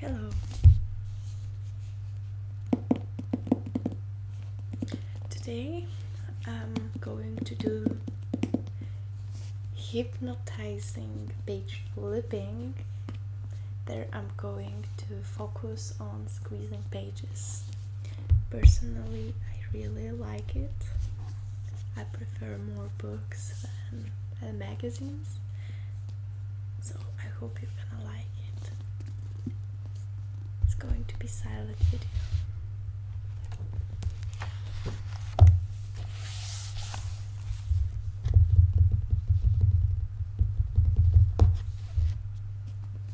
Hello. Today I'm going to do hypnotizing page flipping. There I'm going to focus on squeezing page Personally, I really like it. I prefer more books than magazines, so I hope you're gonna like it. It's going to be silent video.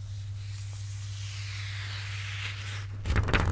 They're light waves.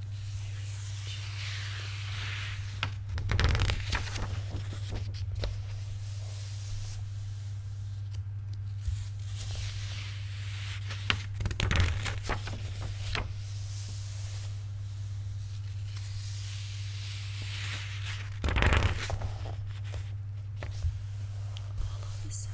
Follow the sound.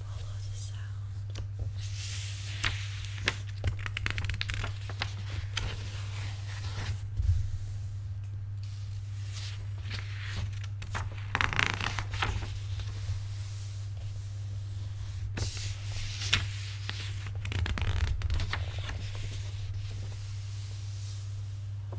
Follow the sound. All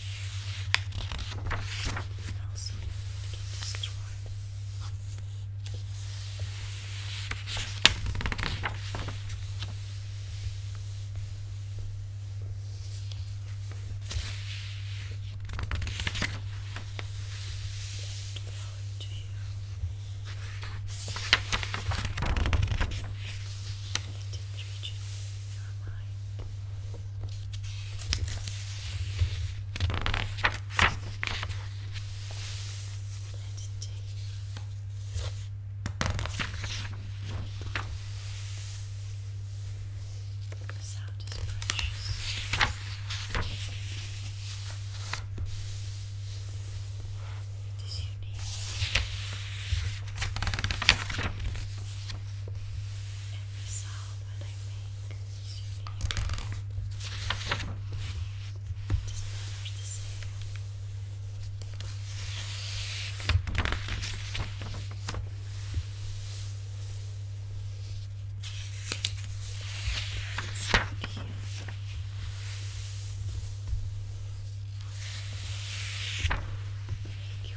And also get destroyed. To you. It didn't reach it. Let's take the sound is precious. It is unique. And the sound that I make. So you the same. So cute. Thank you.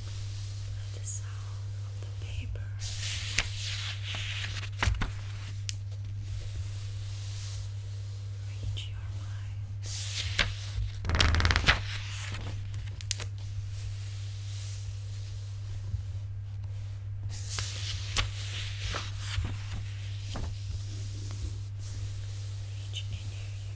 the sound of the paper. Reach your mind. Reach in you.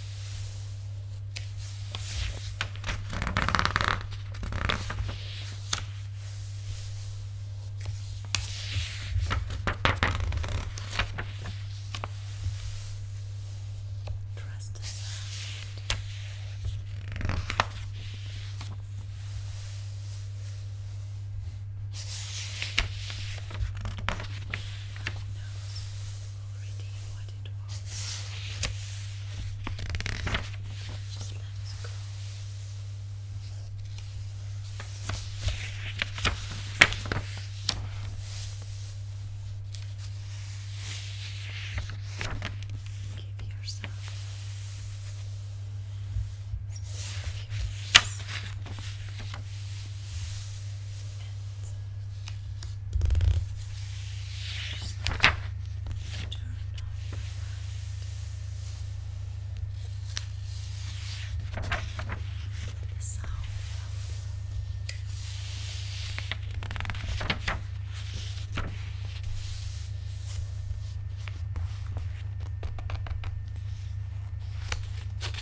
Trust the sound. Who knows? already what it was. Just let it go. Give yourself just turn off the light. The sound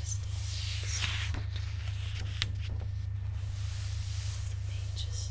is the sound. The pages.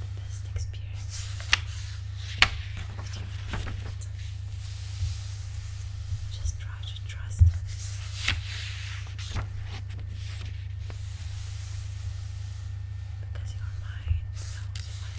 the best experience Just try to trust Because your mind knows what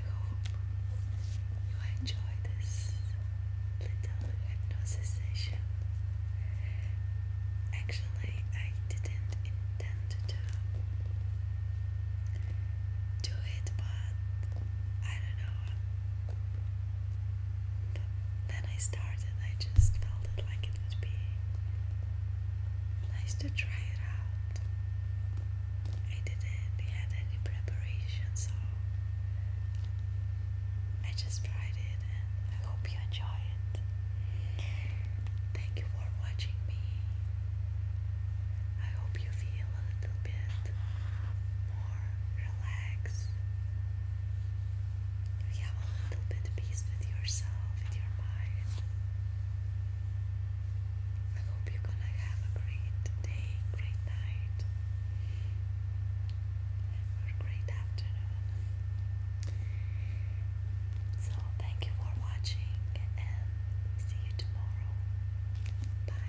I hope you enjoy this little hypnosis session. Actually, I didn't intend to do it, but I don't know. But then I started, I just felt like it would be nice to try it out. I didn't have any preparation, so I just tried it I hope you enjoy it. Thank you for watching me. I hope you feel a little bit more relaxed. You have a little bit of peace with yourself, with your mind. I hope you're gonna have a great day, great night, or great afternoon. So, thank you for watching, and see you tomorrow. Bye.